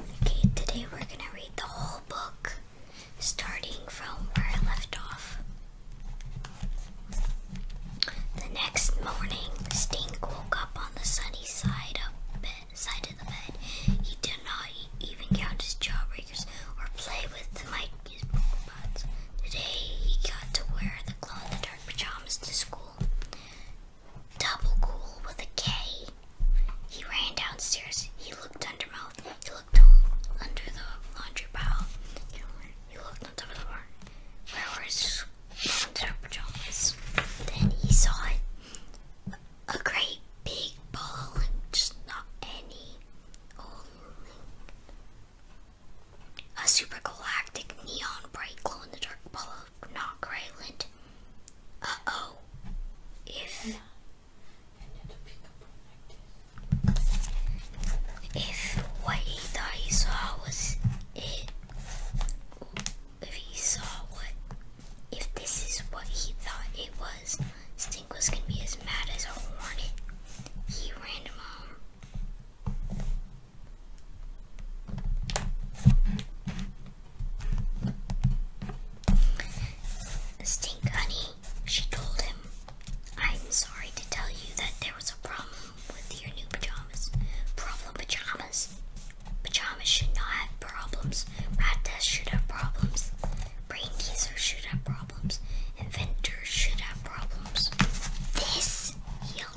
Okay, today we're going to read the whole book starting from where I left off. The next morning, Stink woke up on the sunny side of, bed, side of the bed. He did not even count his jawbreakers or play with the mic bots. Today, he got to wear the glow in the dark pajamas to school. Double cool with a K. He ran downstairs. He looked under mouth. He looked under the laundry pile. He looked on top of the barn. Where were his pajamas? Then he saw it. A great big ball just not any old link. A super galactic neon bright glow in the dark ball not Grayland. Uh oh. If. If what he thought he saw was it. If he saw what. If this is what he thought it was, Stink was gonna be as mad as a hornet. He ran him home. Stink Honey, she told him, I'm sorry to tell you that there was a problem with your new pajamas. Problem pajamas? Pajamas should not have problems. Rat tests should have problems. Brain teasers should have problems. Inventors should have problems. This, he I'm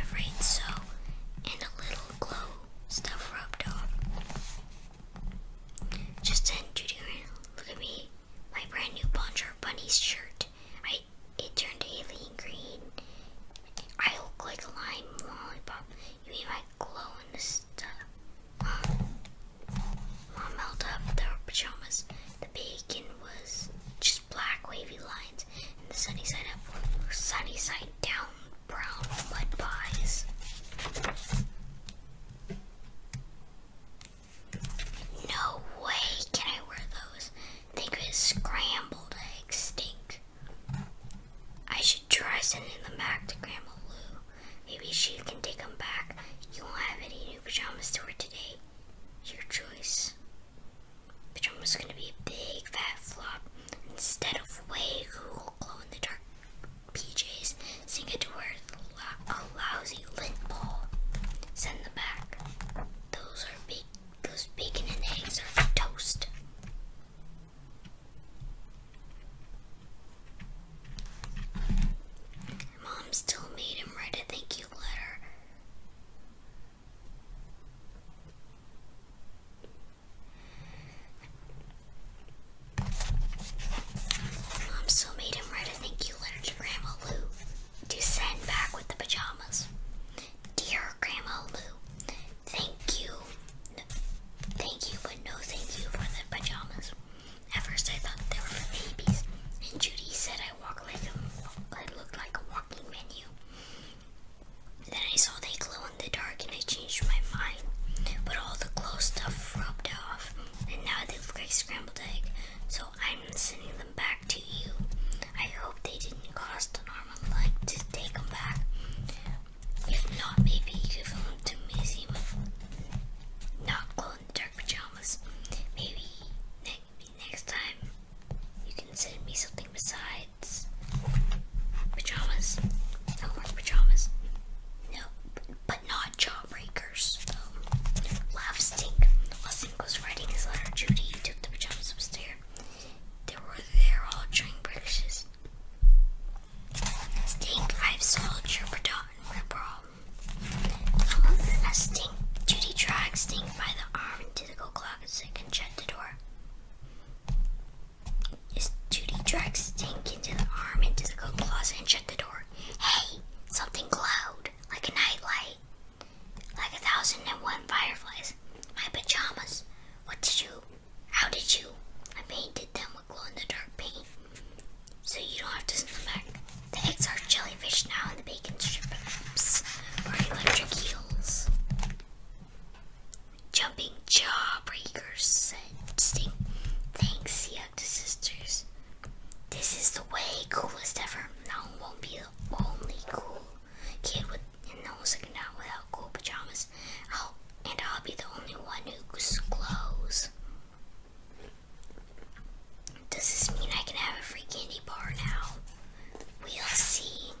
afraid so. And a little glow stuff rubbed off. Just then, Judy ran. Look at me. My brand new Bonjour Bunny's shirt. I it turned alien green. I look like a lime lollipop. You mean my glow in the stuff? Mom, Mom held up their pajamas. The bacon was just black wavy lines, and the sunny side up were sunny side down brown mud pies. No way can I wear those. They could scrambled eggs stink. I should try sending them back to Grandma Lou. Maybe she can take them back. You won't have any new pajamas to wear today. Your choice. Pajama was gonna be a big fat flop. Instead of way cool glow in the dark PJs, sink it to her a lousy lint ball. Send them back. Those are big. Those bacon and eggs are toast. Mom still made him write a thank you letter. Mom still made him write a thank you letter to Grandma Lou to send back with the pajamas. Dear Grandma Lou, thank you. thank you, but no thank you for the pajamas. At first I thought they were for babies, and Judy said I walk like a, it like a walking menu. Then I saw they glow in the dark and I changed my mind. But all the glow stuff rubbed off and now they look like scrambled egg. So I'm sending them back to you. I hope they didn't cost an arm and leg to take them back. If not, maybe give them to museum not glow in the dark pajamas. Maybe next time you can send me something besides pajamas. I want pajamas. No, but not jawbreakers. So, Stink. While writing his letter, Judy took the pajamas upstairs. They were there all during breakfast. Stink, I've solved your problem. Now um, Stink, Judy dragged Stink by the arm to the clock so I can shut the door. As Judy drags Stink into the arm into the coat closet and shut the door. Hey, something glowed, like a nightlight, like a thousand and one fireflies. My pajamas. What did you? How did you? I painted them with glow in the dark paint, so you don't have to send them back. The eggs are jellyfish now, and the bacon strips are electric eels. Jumping jawbreakers, said Sting. Thanks, he hugged his sisters. This is the way coolest ever. Now won't be the only cool kid with no second night without cool pajamas. i and I'll be the only one who's clothes. Does this mean I can have a free candy bar now? We'll see.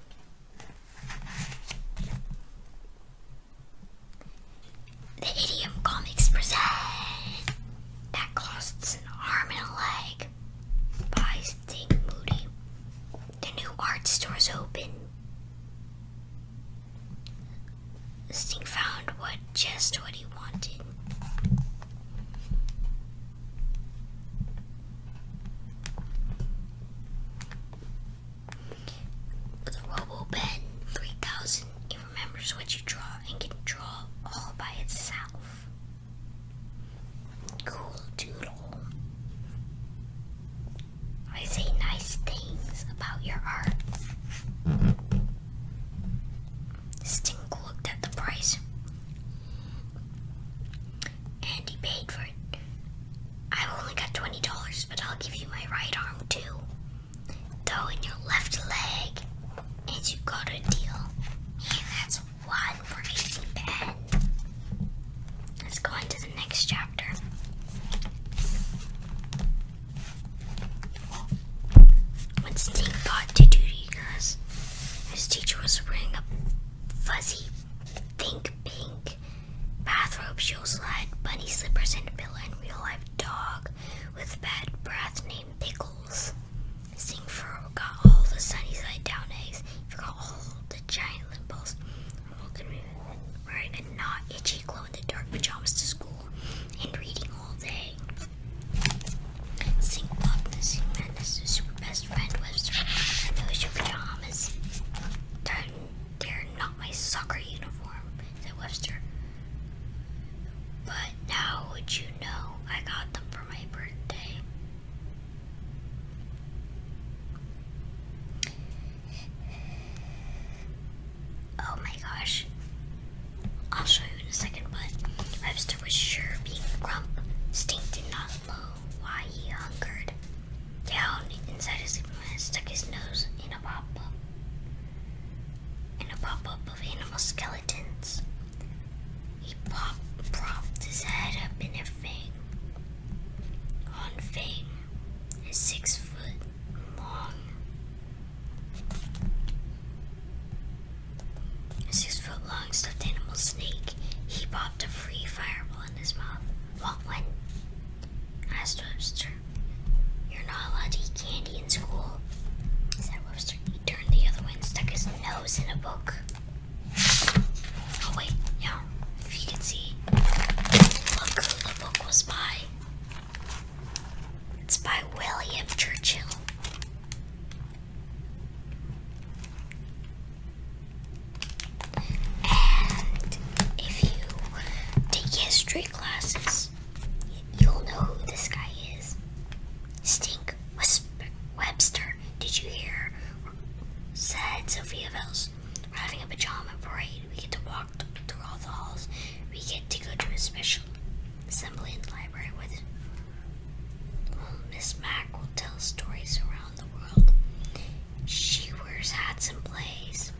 The Idiom Comics present that costs an arm and a leg by Sting Moody. The new art store's open. Sting found what just what he wanted. With Robo Pen 3000, it remembers what you draw and can draw all by itself. Cool doodle. I say nice things about your art. Stink looked at the price. And he paid for it. I have only got $20, but I'll give you my right arm too. Though in your left leg, and you got a deal. Yeah, that's one pricey pen. Let's go on to the next chapter. When Stink got to duty class, his teacher was wearing a fuzzy, pink, pink bathrobe shoe slide, bunny slippers, and a pillow, real life dog with bad breath named Pickles. Sing for got all the sunny side down eggs, You've got all the giant walking around Wearing a not itchy glow in the dark pajamas to school and reading all day. Stink Block, the Sing Man is his super best friend, Webster. Those your pajamas. They're, they're not my soccer uniform, said Webster. But now would you know I got them for my birthday? Oh my gosh. I'll show you in a second, but Webster was sure being grump. Stink did not love why he hungered. Down inside his Superman stuck his nose in a pop-up in a pop of animal skeletons. He popped, propped his head up in a fang on fang, six foot long six foot long stuffed animal snake. He popped a free fireball in his mouth. Want one? asked Webster. You're not allowed to eat candy in school, said Webster. He turned the other way and stuck his nose in a book. Oh, wait, no. If you can see, look the book was by. It's by William Churchill. And if you take history classes, you'll know who this guy is. Stink Webster, did you hear? Said Sophia Vels. We're having a pajama parade. We get to walk through all the halls. We get to go to a special assembly in the library with Miss Mac will tell stories around she wears hats and plays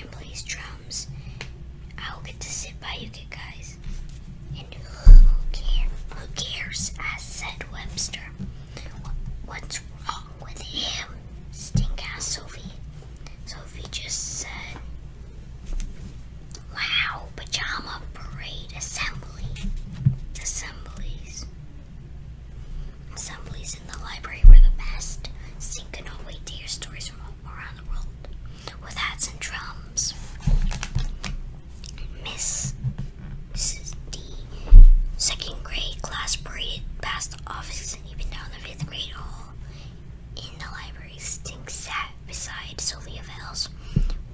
and plays drums. I will get to sit by you guys. And who cares? Who cares? I said Webster. What's wrong with him? Stink Sophie. Sophie just said, "Wow, pajama parade assembly." assemblies. Assemblies in the library were the best, syncing away to your stories from around the world with hats and drums. Miss Mrs. D, second grade class paraded past the office and even down the fifth grade hall in the library. Sting sat beside Sylvia Vails.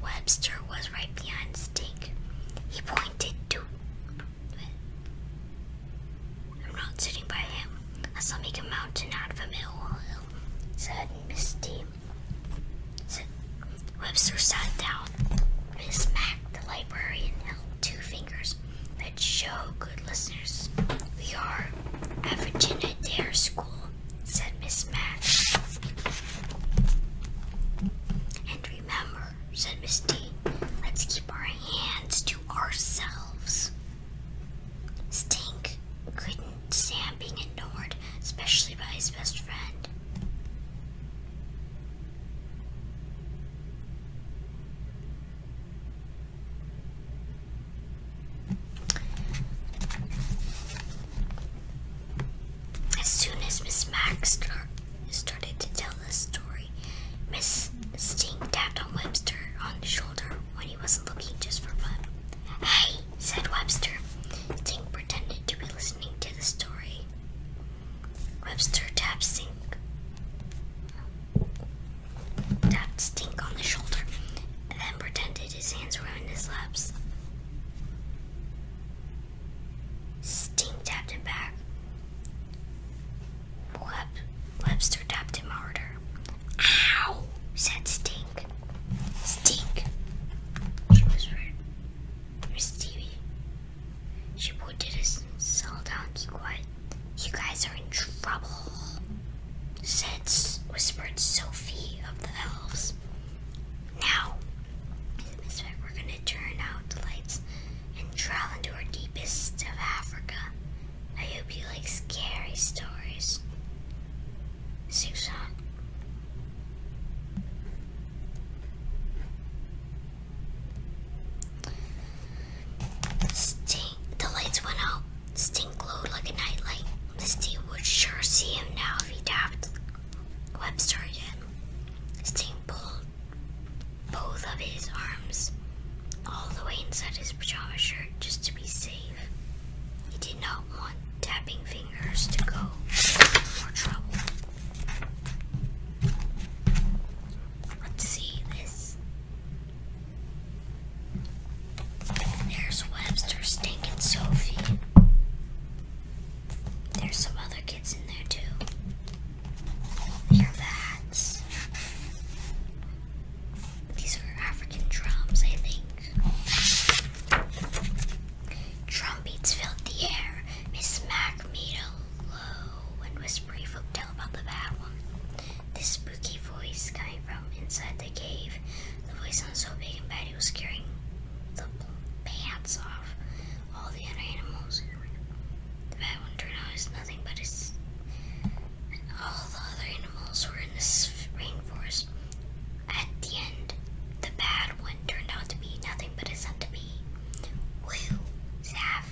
Webster was right behind Stink. He pointed to. I'm not sitting by him. I saw make a mountain out of a molehill. said Misty. Said Webster sat down and smacked the librarian held two fingers that show good listeners. We are at Virginia Dare School, said Miss Mack. And remember, said Miss D, let's keep our hands to ourselves. Stink couldn't stand being ignored, especially by his best friend. As soon as Miss Max started to tell the story, Miss Stink tapped on Webster on the shoulder when he wasn't looking just for fun. Hey, said Webster. Stink pretended to be listening to the story. Webster tapped Stink, tapped Sting on the shoulder and then pretended his hands were in his laps. Sting tapped him back. Web Webster tapped him harder. Ow! said Stink. Stink! She whispered. Miss Stevie. She pointed us and settled down, keep quiet. You guys are in trouble, said whispered Sophie of the elves. Now, in the we're gonna turn out the lights and travel into our deepest of Africa. I hope you like scary stories. Susan. Sting. The lights went out. Sting glowed like a nightlight. Misty would sure see him now if he tapped. Webster again. Sting pulled both of his arms all the way inside his pajama shirt just to be safe. He did not want tapping fingers to go for trouble. Let's see this. There's Webster, Stink, and Sophie. There's some other kids in there too. Hear that? These are African drums, I think. Drumbeats filled the air. Miss Mac made a low and whispery folk tale about the bad one. This spooky voice coming from inside the cave. The voice sounded so big and bad it was scaring the pants off all the other animals. The bad one turned out as nothing but his. all the other animals were in this rainforest. At the end, the bad one turned out to be nothing but a centipede. Woo! Zaf,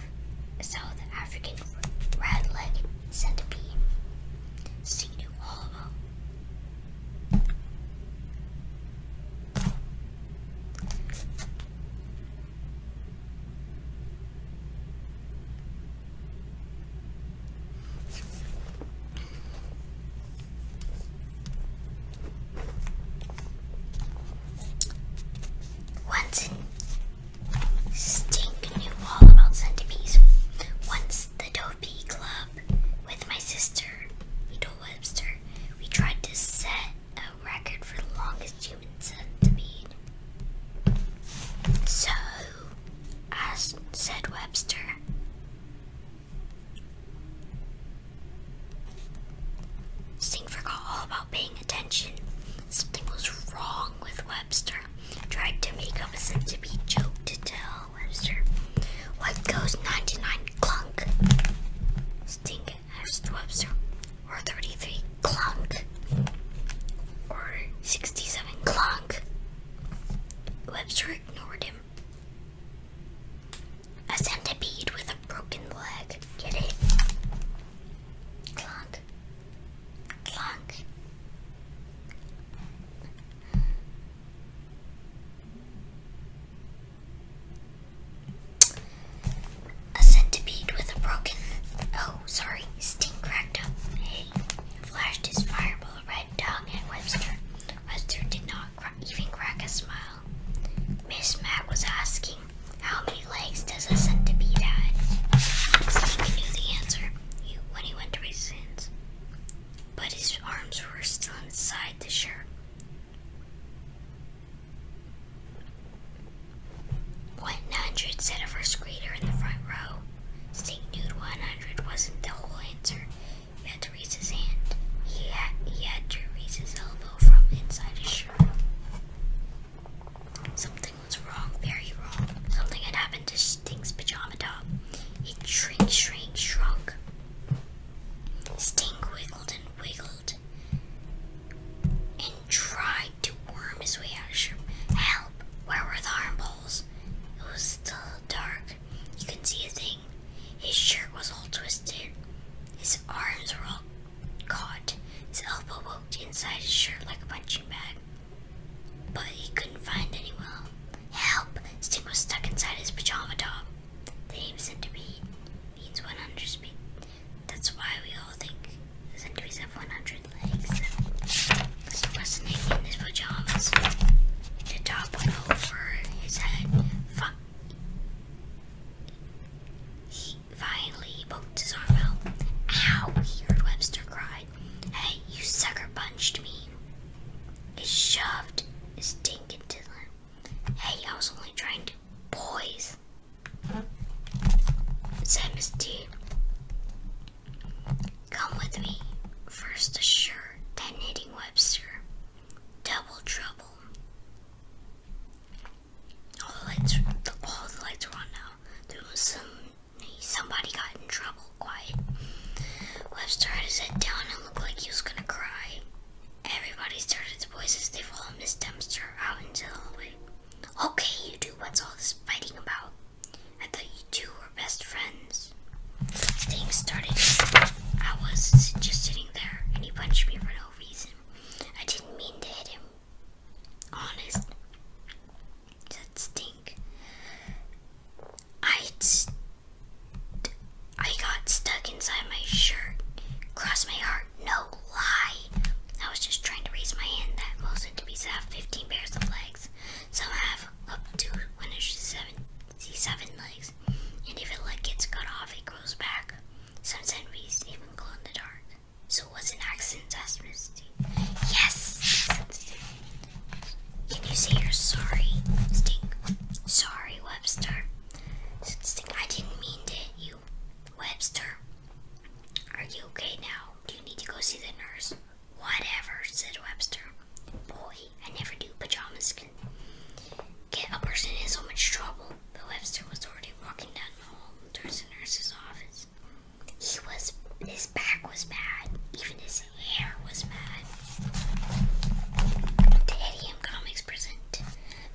South African red legged centipede. See you all once in Stink knew all about centipedes. Once the Dopey Club with my sister, Beetle Webster, we tried to set a record for the longest human centipede. So, as Webster, Sting forgot all about paying attention. Something was wrong with Webster. Tried to make up a centipede joke to tell Webster what goes 99 clunk. Sting Astrobster, or 33 Clunk, or 67 Clunk. Webster ignored him. A centipede with a broken leg. Get it? Clunk. Clunk. A centipede with a broken. Oh, sorry. Sting cracked up. Hey. Flashed his fireball right down at Webster. Webster did not even crack a smile. Miss Mac was asking, How many legs does a centipede have? Sting knew the answer when he went to his hands. But his arms were still inside the shirt. 100 said a first grader in the front row. Sink Nude 100 wasn't the whole answer. He had to raise his hand. He had, he had to raise his elbow from inside his shirt. Something was wrong, very wrong. Something had happened to Stink's pajama top. It shrunk, shrunk, shrunk. Stink wiggled and wiggled and tried to worm his way out of shrimp. Help! Where were the armholes? It was still dark. You couldn't see a thing. His shirt was all twisted. His arms were all caught. His elbow poked inside his shirt like a punching bag. But he couldn't find any well. Help! Sting was stuck inside his pajama top. The to be. Means 100 speed. That's why we all think centipedes have 100 legs. So fascinating in his pajamas. The top went over his head. Fi he finally poked his arm out. Ow! He Webster cried. Hey, you sucker punched me. He shoved his stink into them. Hey, I was only trying to poise this. Samus D. Come with me. First a then hitting Webster. Double trouble. All the lights, all the lights were on now. There was some, somebody got in trouble. Quiet. Webster had his head down and looked like he was gonna cry. Everybody started to voice as they followed Miss Dempster out into the hallway. Okay, you two, what's all this fighting about? I thought you two were best friends. Things started. I was just sitting there, and he punched me for no reason. I didn't mean to hit him. Honest. That stink. I I got stuck inside my shirt. Cross my heart. No lie. I was just trying to raise my hand that wasn't most enemies have 15 pairs of legs. Some have up to 177 legs. And if a leg gets cut off, it grows back. Some enemies even glow in the dark. So it was an accident, asked Misty. Yes! Can you say you're sorry, Stink? Sorry, Webster. I didn't mean to. You Webster? Are you okay now? Do you need to go see the nurse? Whatever, said Webster. Boy, I never do pajamas get a person in so much trouble. But Webster was already walking down the hall towards the nurse's office. He was his back was bad, even his hair was bad. The Idiom Comics present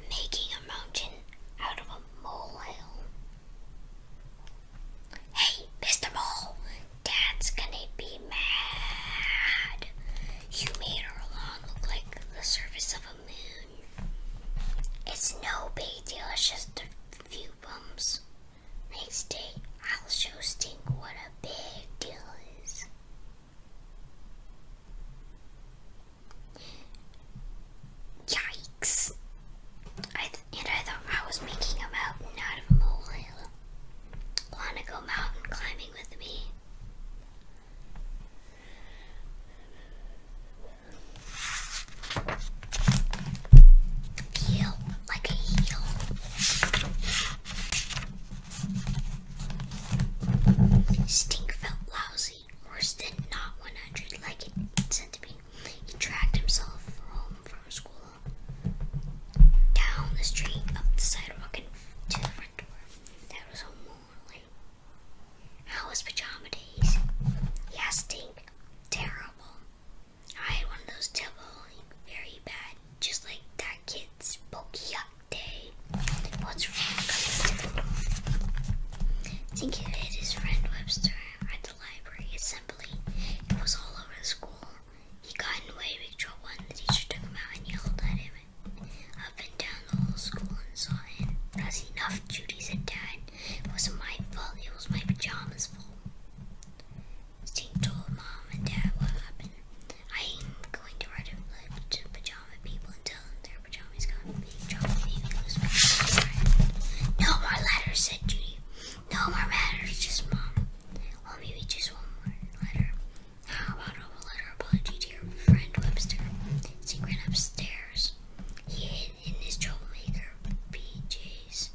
Making a Mountain out of a molehill. Hey, Mr. Mole, Dad's gonna be mad. You made our lawn look like the surface of a moon. It's no big deal, it's just a few bumps. Next day, I'll show Stink what a big deal is. Yikes! and I thought I was making a mountain out of molehill. Wanna go mountain climbing with me? Heel like a heel. Stink felt lousy. Horse did not 100 like it said to be. He dragged himself home from school, down the street, up the sidewalk, and to the front door. That was home morning. How was pajama days? Yeah, stink. Terrible. I had one of those terrible, very bad, just like that kid's bulky up day what's wrong? his friend Webster at the library assembly. It was all over the school. He got in way big trouble and the teacher took him out and yelled at him up and down the whole school and saw him. That's enough, Judy, said Dad. It wasn't my fault, it was my pajamas' fault. Steve told Mom and Dad what happened. I am going to write to pajama people and tell them their no more letters, said Judy. No more matters, just mom. Well, maybe just one more letter. How about a letter apology to your friend Webster? He ran upstairs. He hid in his troublemaker PJs.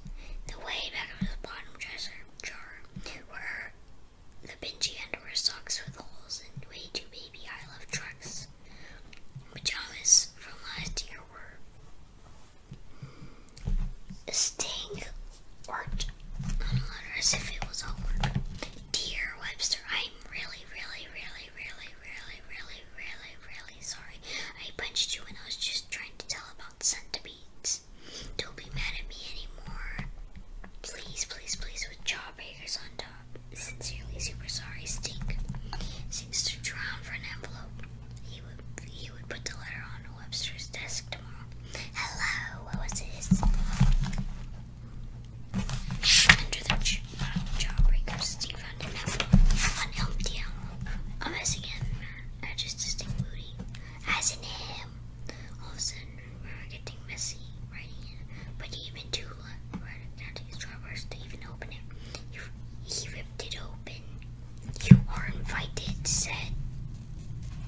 The way back of his bottom dresser jar were the pinchy underwear socks with holes and way too baby I love trucks pajamas from last year were staying worked on a letter as if it was all work. Dear Webster, I'm really, really, really, really, really, really, really, really sorry. I punched you when I was just trying to tell about centipedes. Don't be mad at me anymore. Please, please, please, with jawbreakers on top sincerely super sorry, Stink, seems to drown for an envelope. He would he would put the letter on Webster's desk tomorrow. Hello, what was this? Under the jawbreaker, Stink found an envelope, an empty envelope. I'm missing him. I just distinct moody. As him. All of a sudden, we're getting messy writing it, but even too he, ripped it open. You are invited, said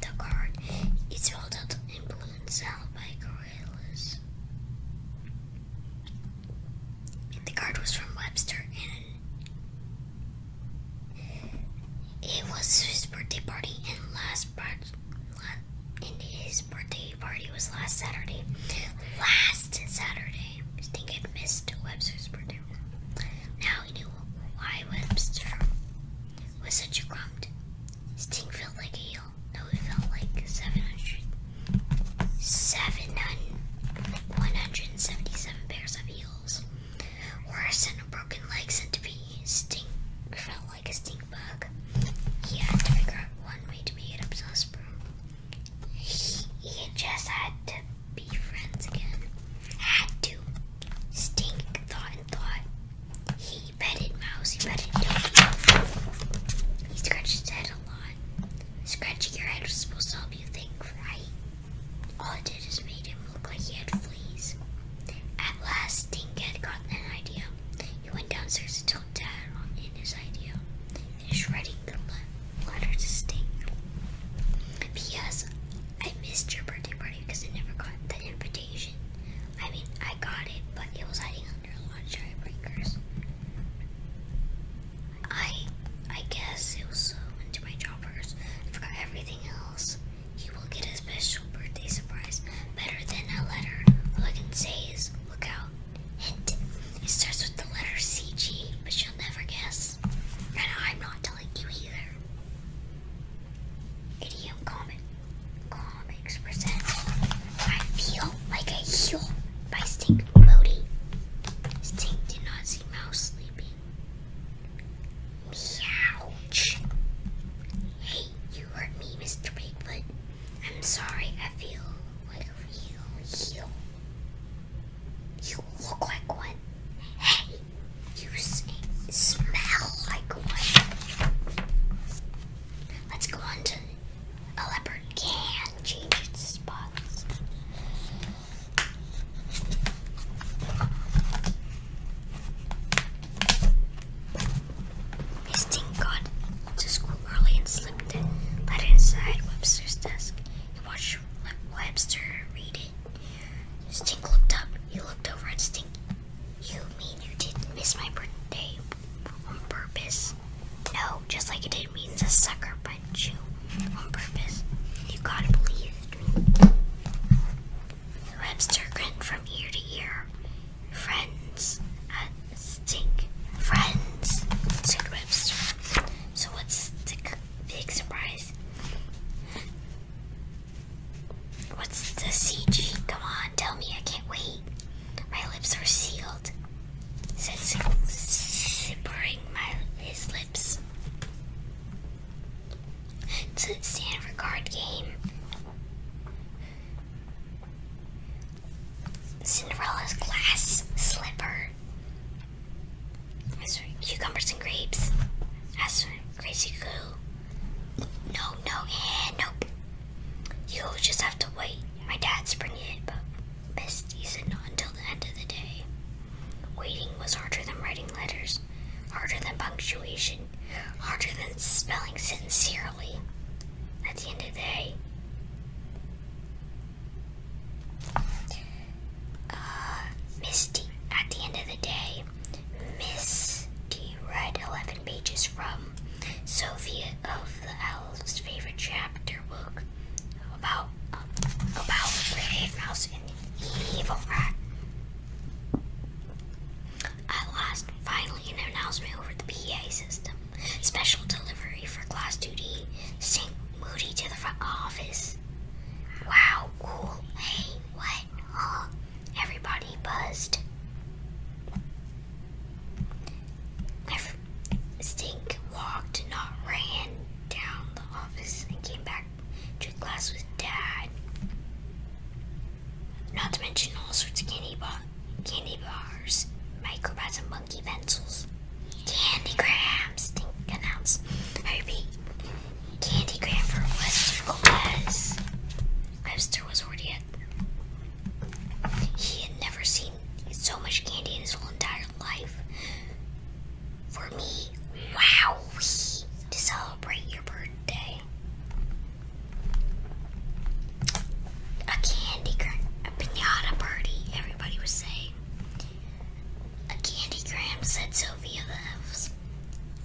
the card. It's rolled out in blue and held by gorillas. The card was from Webster and it was his birthday party and last part in his birthday party was last Saturday. Last Saturday. I think I missed Webster's birthday. Now he knew why Webster was such a grump. His thing felt like a heel. No, it felt like 700. 177 pairs of heels. Worse than a broken leg to be. Stink felt like a stink bug. He had to figure out one way to make it up to his room. He, he just had to be friends again. Had to. Stink thought and thought. He petted Mouse, he petted Doki. He scratched his head a lot. Scratching your head was supposed to help you think, right? All it did is made him look like he had fleas. At last, Stink had gotten an idea. He went downstairs and told Dad on in his idea finish writing the letter to Sting. P.S. I missed your birthday party because I never got the invitation. I mean, I got it, but it was hiding under a lot of giant breakers. I, I guess it was so into my jobbers. I forgot everything else. He will get a special birthday surprise better than a letter. All I can say is, look out. Hint. It starts with the letter CG, but you'll never guess. And I'm not telling you either. Idiom comic. Comics present. I feel like a heel by Stink Moody. Stink did not Mouse sleeping. Meowch. Hey, you hurt me, Mr. Bigfoot. I'm sorry, I feel like you, you, you look like one. Hey, you smell like one. Let's go on to a leopard can change its spots. This thing to school early and slipped it, let it inside Webster's desk, He watched Webster read it. Stink looked up. He looked over at Stink. You mean you didn't miss my birthday on purpose? No, just like it didn't mean to sucker punch you on purpose. You gotta believe me. Webster grinned from ear to ear. Friends, uh, Stink friends, said Webster. So what's the big surprise? What's the CG? Come on, tell me, I can't wait. My lips are sealed, said Sippering my his lips. it's stand for card game. Cinderella's glass slipper cucumbers and grapes. That's crazy cool. No, no, and nope. You'll just have to wait. My dad's bringing it, but best not until the end of the day. Waiting was harder than writing letters, harder than punctuation, harder than spelling sincerely. At the end of the day, uh, Misty, at the end of the day, Misty read 11 pages from Sophia of the Elves' favorite chapter book about uh, about Brave Mouse and the Evil Rat. At last, finally, an announcement over the PA system. Special delivery for class duty. Sink Moody to the front office. Wow, cool. Hey, what? Huh? Everybody buzzed. Stink walked, not ran, down the office and came back to class with Dad. Not to mention all sorts of candy, bar, candy bars, microbats, and monkey pencils, candy grams, think announce. I repeat, candy gram for Webster was. Webster was already at. He had never seen so much candy in his whole entire life. For me, wow, to celebrate your birthday. A candy, a pinata party, everybody was saying. A candygram, said Sophia loves. Elves.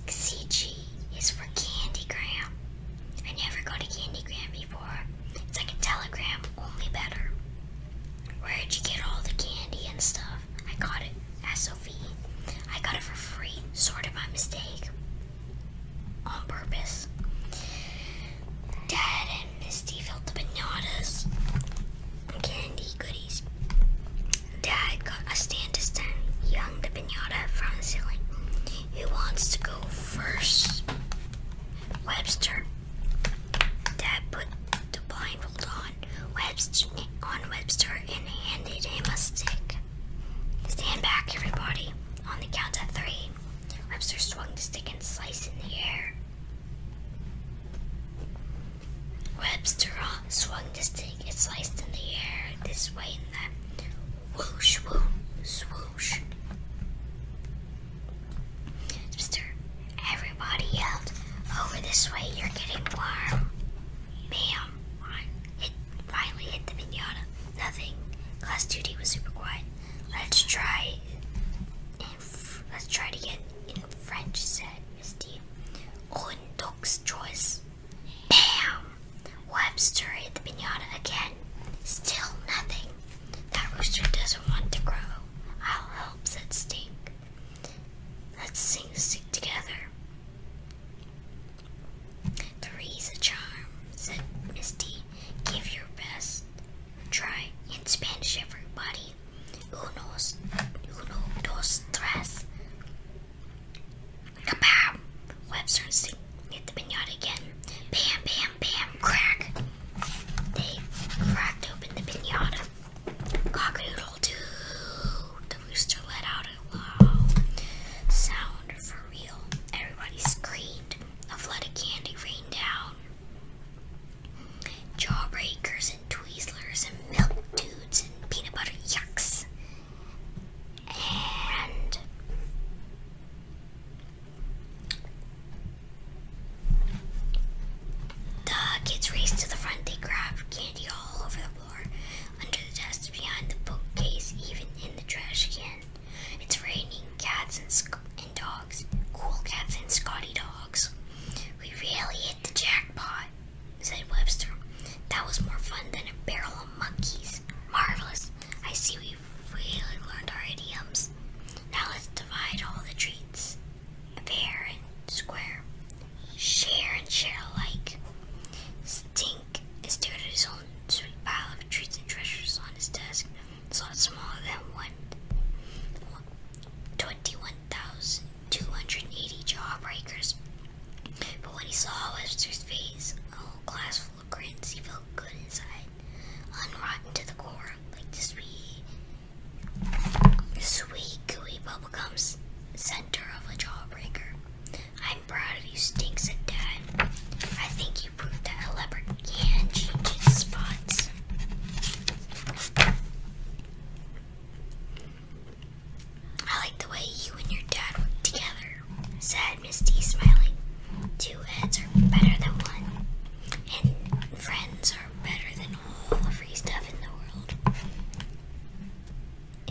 CG is for candygram. I never got a candygram before. It's like a telegram, only better. Where'd you get all the candy and stuff? I got it, asked Sophie. I got it for free, sort of by mistake. On purpose. Dad and Misty filled the pinatas candy goodies. Dad got a stand to stand. Young hung the pinata from the ceiling. Who wants to go first? Webster. Dad put the blindfold on Webster, on Webster and handed him a stick. Stand back, everybody. On the count of three, Webster swung the stick and sliced in the air. Webster swung this thing. It sliced in the air this way and that. Whoosh, whoosh, swoosh. Webster, everybody yelled, over this way, you're getting warm. Bam, it finally hit the pinata. Nothing. Class duty was super quiet. Let's try it let's try to get in French, said Misty. Runduk's choice. Bam! Webster hit the pinata again. Still nothing. That rooster doesn't want to grow. I'll help, said Stink. Let's sing together. Three's a charm, said Misty. Give your best. Try in Spanish, everybody. Uno, uno, dos, tres. Kabam! Webster see. Hit the pinata again. Bam, bam, bam, crack. They cracked open the pinata. Cockadoodle doo. The rooster let out a loud sound for real. Everybody screamed. A flood of candy rained down. Jawbreakers and Twizzlers and Milk Dudes and Peanut Butter Yucks. And the kids raced to the front. They grab candy all over the floor, under the desk, behind the bookcase, even in the trash can. It's raining cats and dogs. Cool cats and Scotty dogs. We really hit the jackpot, said Webster. That was more fun than a barrel of monkeys. Marvelous. I see we've really learned our idioms. Now let's divide all the treats. Fair and square. Share and share alike. Stink stared at his own sweet pile of treats and treasures on his desk so it's smaller than one. 21,280 jawbreakers. But what he saw Webster's face, a whole class full of grins, he felt good inside, unrotten to the core, like the sweet, sweet, gooey bubblegums. center of a jawbreaker. I'm proud of you, stinks said Dad. I think you proved that a leopard can change its spots. I like the way you and your dad work together, said Misty, smiling. Two heads are better than one, and friends are better than all the free stuff in the world.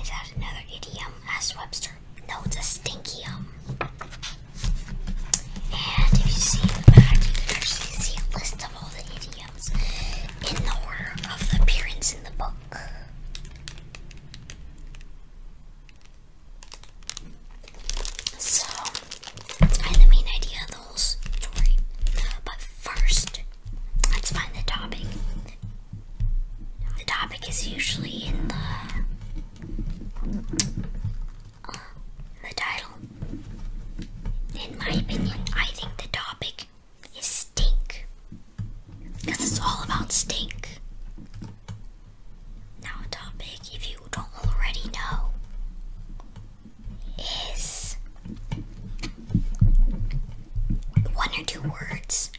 Is that another idiom? asked Webster. No, it's a stinkium. And if you see the back, you can actually see a list of all the idioms in the order of appearance in the book. So, I the main idea of the whole story. But first, let's find the topic. The topic is usually in the. Um, the title. In my opinion, I think the topic is stink. Because it's all about stink. Now, topic, if you don't already know, is one or two words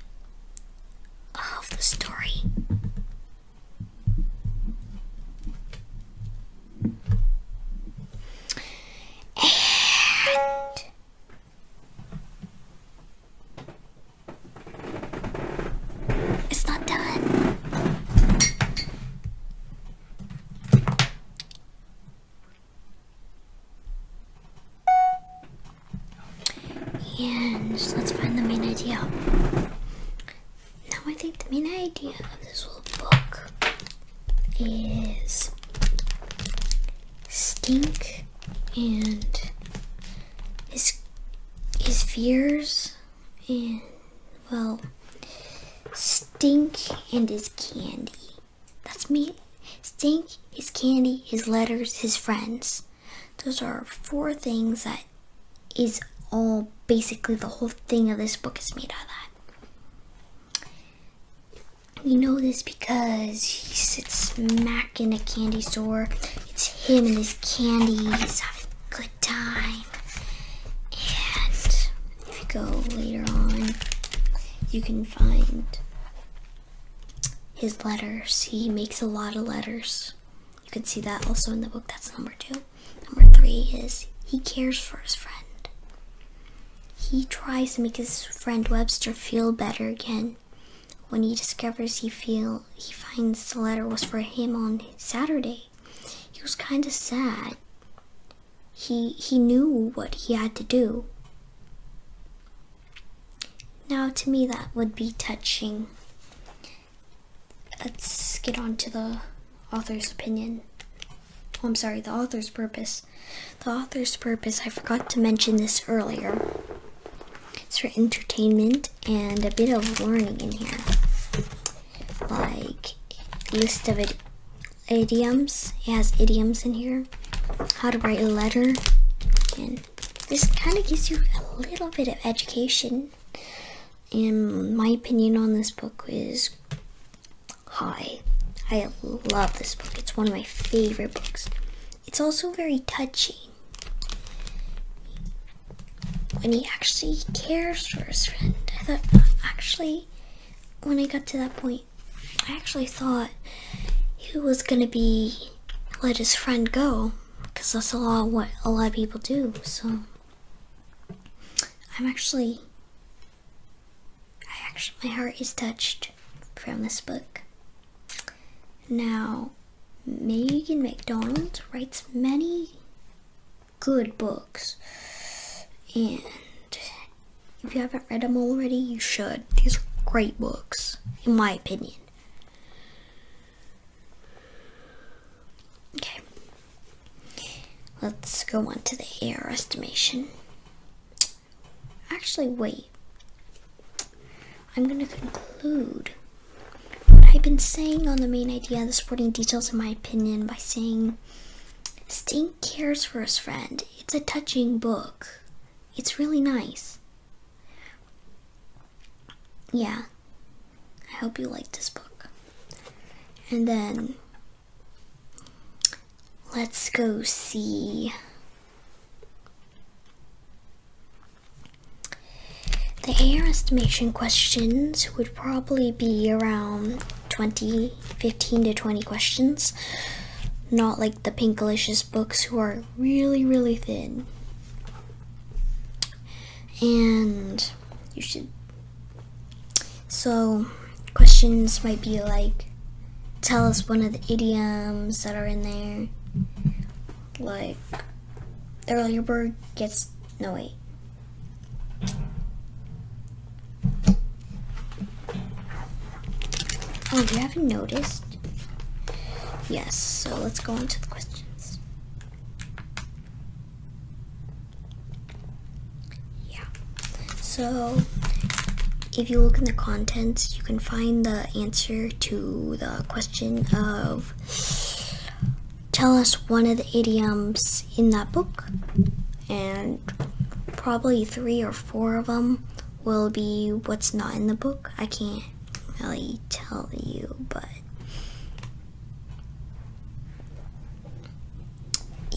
of the story and it's not done. And let's find the main idea. Now I think the main idea of this little book is Stink and his his fears and well Stink and his candy. That's me. Stink, his candy, his letters, his friends. Those are four things that is all basically the whole thing of this book is made out of that. We know this because he sits smack in a candy store. It's him and his candies having a good time. And if you go later on, you can find his letters. He makes a lot of letters. You can see that also in the book. That's number two. Number three is he cares for his friend. He tries to make his friend Webster feel better again. When he discovers he feel he finds the letter was for him on Saturday. He was kind of sad. He he knew what he had to do. Now to me that would be touching. Let's get on to the author's opinion. Oh, I'm sorry, the author's purpose. The author's purpose, I forgot to mention this earlier. It's for entertainment and a bit of learning in here. Like, list of idioms. It has idioms in here. How to write a letter. And this kind of gives you a little bit of education. And my opinion on this book is Hi, I love this book. It's one of my favorite books. It's also very touching. When he actually cares for his friend. I thought, actually, when I got to that point, I actually thought he was going to be let his friend go because that's a lot what a lot of people do so I'm actually I actually, my heart is touched from this book. Now, Megan McDonald writes many good books, and if you haven't read them already, you should. These are great books, in my opinion. Okay, let's go on to the air estimation. Actually, wait. I'm going to conclude what I've been saying on the main idea and the supporting details in my opinion by saying Stink cares for his friend. It's a touching book. It's really nice. Yeah. I hope you like this book. And then Let's go see. The AR estimation questions would probably be around 20, 15 to 20 questions. Not like the Pinkalicious books who are really, really thin. And you should so questions might be like, tell us one of the idioms that are in there. Like, earlier bird gets, no wait. Oh, you haven't noticed? Yes, so let's go on to the questions. Yeah. So, if you look in the contents, you can find the answer to the question of tell us one of the idioms in that book, and probably three or four of them will be what's not in the book. I can't really tell you, but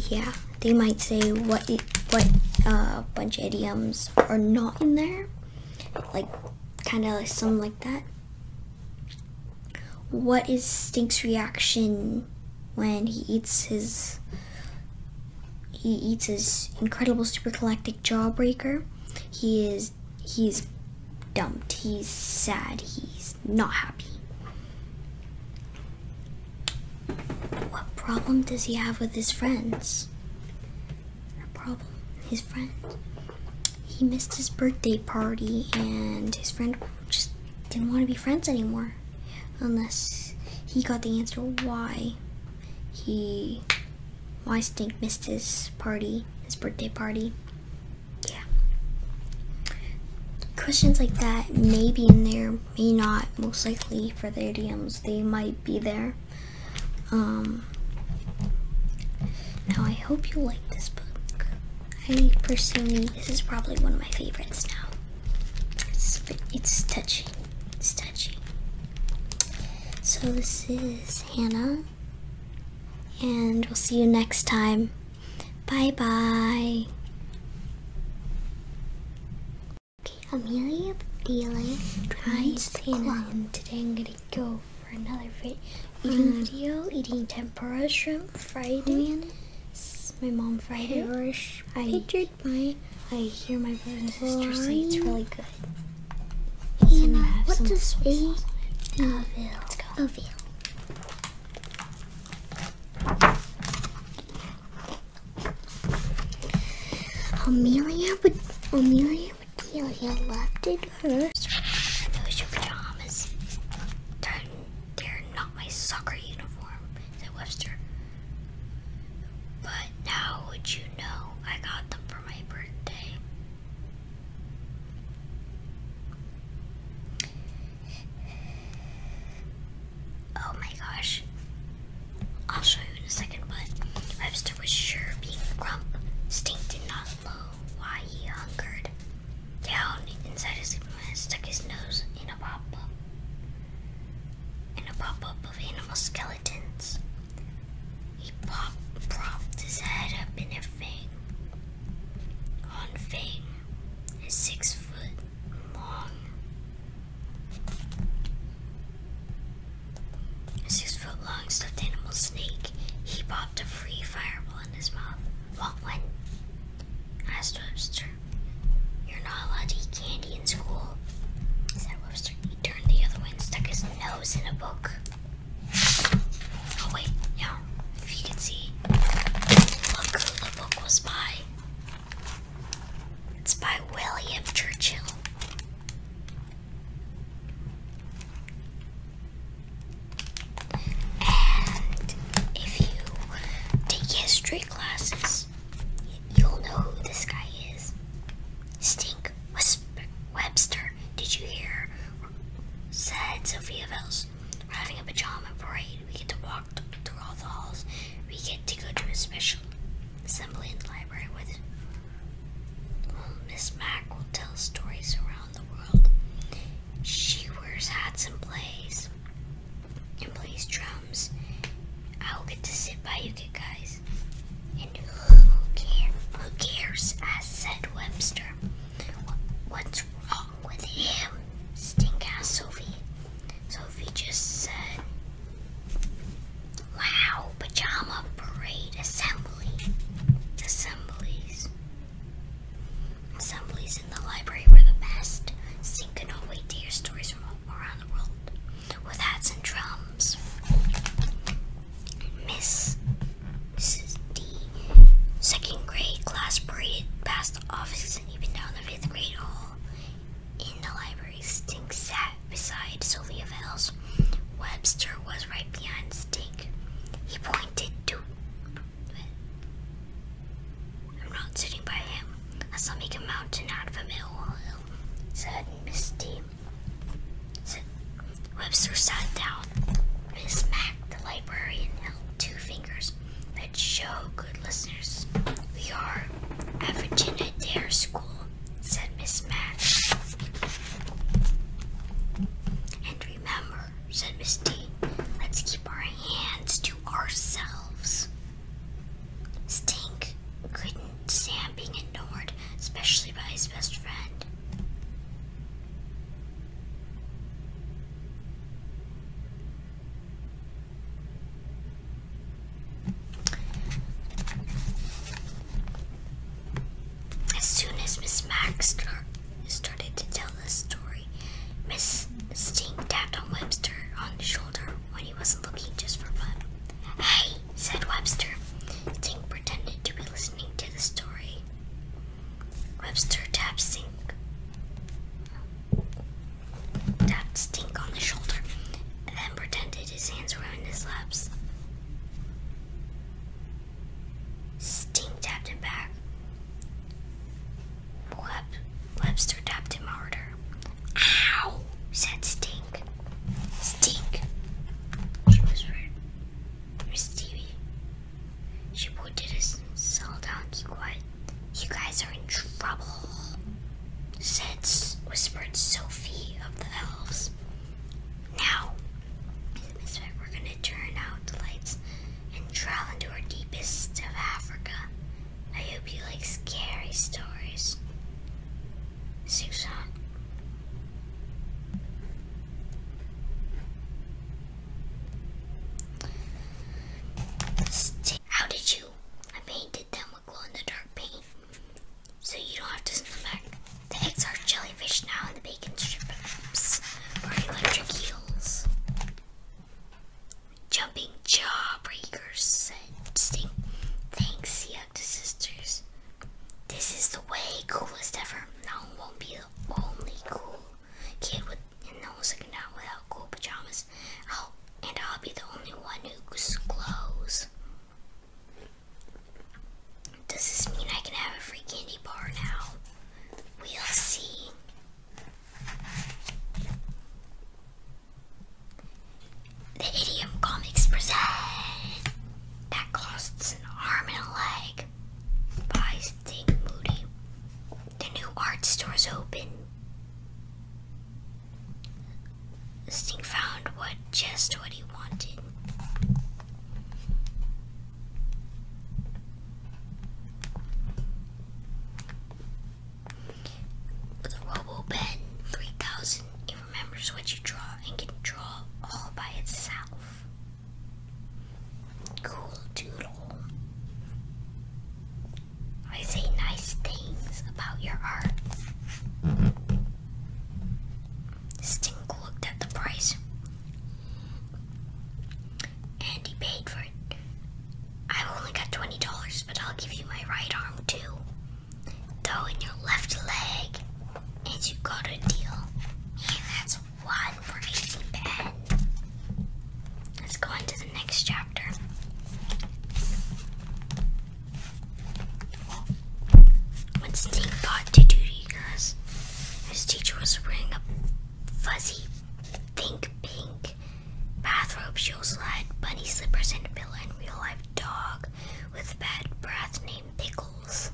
yeah, they might say what what uh, bunch of idioms are not in there, like kind of like some like that. What is Stink's reaction when he eats his he eats his incredible super galactic jawbreaker? He is he's dumped. He's sad. He's not happy. What problem does he have with his friends? A problem? His friend? He missed his birthday party and his friend just didn't want to be friends anymore. Unless he got the answer why he why Stink missed his party, his birthday party. Yeah. Questions like that may be in there may not, most likely for the idioms, they might be there. Um, now, I hope you like this book. I personally, this is probably one of my favorites now. It's, it's touchy. It's touchy. So, this is Hannah, and we'll see you next time. Bye bye. Okay, I'm Amelia Dealing tries Hannah, and today I'm gonna go for another vi uh, eating um, video, eating tempura shrimp fried in. My mom fried it. I hear my brother and sister say it's really good. Hannah, yeah, what does a uh, veal? A veal. Amelia, but Amelia, but Amelia left it hers. Those your pajamas. They're, they're not my soccer uniform, said Webster. But now would you know I got them for my birthday? Oh my gosh. I'll show you in a second, but Webster was sure being grump. Stink did not know why he hungered. Down inside his implement stuck his nose in a pop-up. In a pop-up of animal skeletons. He popped, propped his head up in a fang. On fang, a six-foot long this is A foot long stuffed animal snake. He popped a free fireball in his mouth. What one? asked Webster. You're not allowed to eat candy in school, said Webster. He turned the other way and stuck his nose in a book. Oh wait, no. If you could see, look who the book was by. It's by William Churchill. And if you take history classes, you'll know who this guy is. Stink Webster, did you hear? Said Sophia Vels. We're having a pajama parade. We get to walk through all the halls, we get to go to a special assembly in the library with well, Miss Mac will tell stories around the world. She wears hats and plays and plays drums. I will get to sit by you guys. And who cares? Who cares? As said Webster. What's wrong with him? Stink ass Sophie. Sophie just said Wow, pajama parade assembly. Assemblies. Assemblies in the library were the best. Sink and wait to hear stories from around the world with hats and drums. Miss D. Second grade class parade past the office and even down the fifth grade hall in the library. Avery. Stink sat beside Sylvia Vales. Webster was right behind Stink. He pointed to. I'm not sitting by him. I saw not make a mountain out of a molehill, said Misty. Said Webster sat down. Miss Mac, the librarian, held two fingers that showed good listeners. We are at Virginia Dare School, said Miss Max. And remember, said Miss D, let's keep our hands to ourselves. Stink couldn't stand being ignored, especially by his best friend. As soon as Miss Max started to tell the story, Miss Sting tapped on Webster on the shoulder when he wasn't looking just for fun. Hey, said Webster. Sting pretended to be listening to the story. Webster tapped Sting Stink on the shoulder, and then pretended his hands were in his laps. Stink tapped him back. Webster tapped him harder. Ow! said Stink. Stink! whispered. Or Stevie. She pointed his cell down. You guys are in trouble. Since whispered Sophie of the elves. Now, we're gonna turn out the lights and travel into our deepest of Africa. I hope you like scary stories. Susan. How did you? I painted them glow-in-the-dark paint, so you don't have to send back. The eggs are jellyfish now, and the bacon strips are electric eels. Jumping jawbreakers, said Sting. Thanks, he hugged his sisters. This is the way coolest ever. Now won't be the only cool kid with no second out without cool pajamas Oh, and I'll be the only one who clothes. Does this mean I can have a free candy bar now? We'll see. The Idiom Comics present that costs an arm and a leg by Sting Moody. The new art store's open. Stink found what just what he wanted. With Robo Pen 3000, it remembers what you draw and can draw all by itself. Cool doodle. I say nice things about your art. Stink looked at the price and he paid for it. i only got $20, but I'll give you my right arm too. Though in your left leg, and you got a deal. And that's one pricey pen. Let's go on the next chapter. Once Dean got to duty class, his teacher was wearing a fuzzy, think pink bathrobe. She also had bunny slippers and a pillow and real life dog with bad breath named Pickles.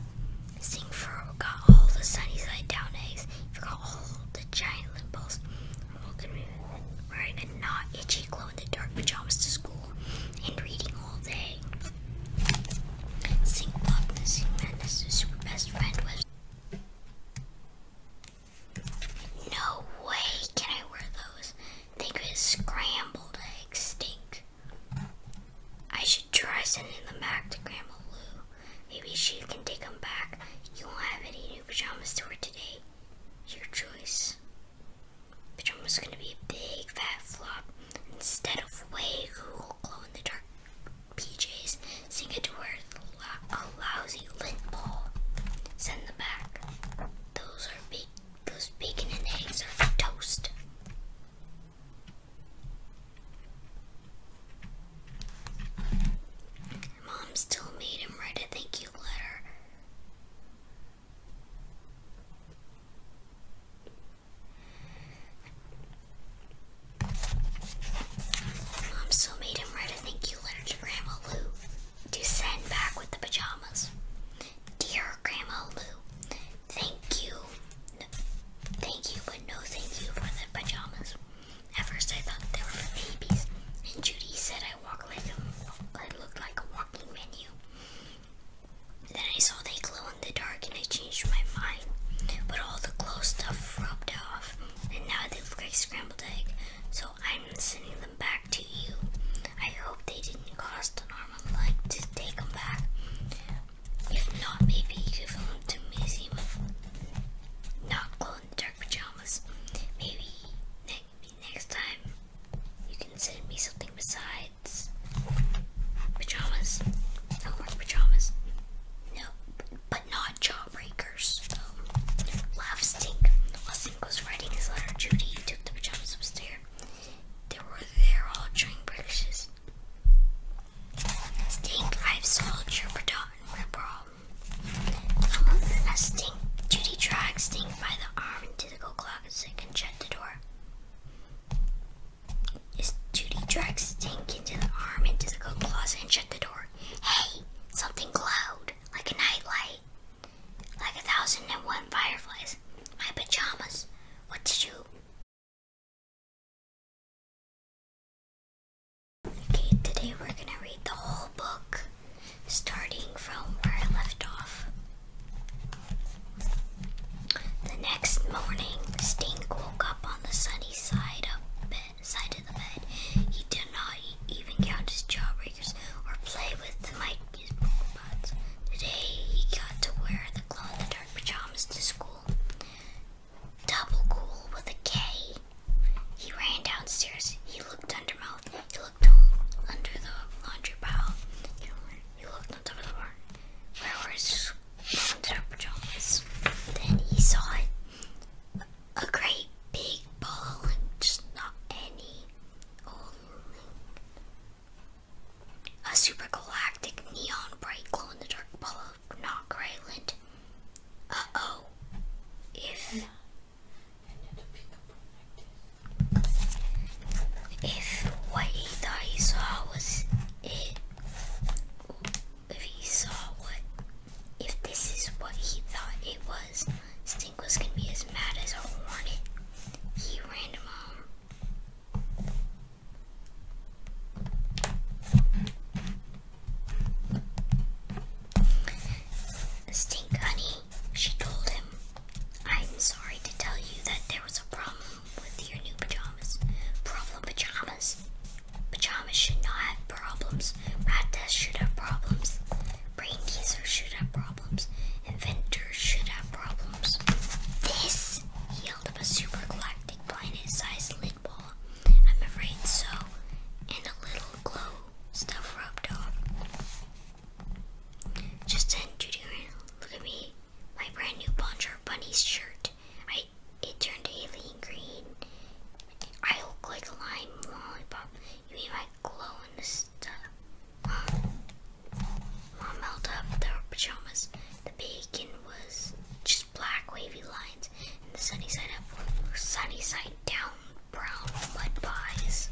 Singfer got all the sunny side down eggs. forgot all the giant limbos. Wearing not itchy in the dark pajamas to school and reading all day. Sing Pop the Sing Madness' super best friend No way can I wear those. They could scrambled eggs stink. I should try sending them back to Grandma Lou. Maybe she can take them back. You won't have any new pajamas to wear today. Your choice. Pajama was gonna be a big fat flop. Instead of way cool glow in the dark PJs, Singa wears a lousy lint ball. Send them back. Those are big. Those bacon and eggs are toast. Mom still made him write a thank you letter. Mom still made him write a thank you letter to Grandma Lou to send back with the pajamas. Dear Grandma Lou, thank you. thank you, but no thank you for the pajamas. At first I thought they were for babies, and Judy said I walk like a, I looked like a walking menu. Then I saw they glow in the dark and I changed my mind. But all the glow stuff rubbed off and now they look like scrambled egg. So I'm sending them back to you. I hope they didn't cost an arm and leg to take them back. If not, maybe give them to Missy with not glow dark pajamas. Maybe, next time you can send me something besides pajamas. I want pajamas. No, but not jawbreakers. So, stink. While Stink was writing his letter, Judy took the pajamas upstairs. They were there all during breakfast. Stink, I've solved your problem. Now um, Stink, Judy dragged Stink by the arm into the go Robinson can shut the door. As Judy drags Stink into the arm into the coat closet and shut the door. Hey, something glowed, like a nightlight. Like a thousand and one fireflies. My pajamas. What did you? Okay, today we're gonna read the whole book, starting from where I left off. The next morning, Stink woke up on the sunny side of bed, side of the bed. He did not even count his jawbreakers or play with the mic pots. Today, he got to wear the glow-in-the-dark pajamas to school. Double cool with a K. He ran downstairs. He looked under mouth under the laundry pile. You, looked on top of the barn. Where were his their Then he saw it. A great big ball just not any old a super galactic neon bright glow in the dark ball of not gray Uh oh. If. If what he thought he saw was it, if he saw what, if this is what he thought it was, Stink was gonna be as mad as a hornet. He ran him home. Stink honey she told him, I'm sorry to tell you that there was a problem with your new pajamas. Problem pajamas? Pajamas should not have problems. Rat tests should have problems. Brain teasers should have problems. Inventors should have problems. This! He held up a super galactic planet sized lid ball. I'm afraid so. And a little glow stuff rubbed off. Justin Jr. Look at me. My brand new Bonjour Bunny's shirt. I it turned alien green. I look like a lime lollipop. You mean my glow in the stuff? Mom, held up their pajamas. The bacon was just black wavy lines, the sunny side up were sunny side down brown mud pies.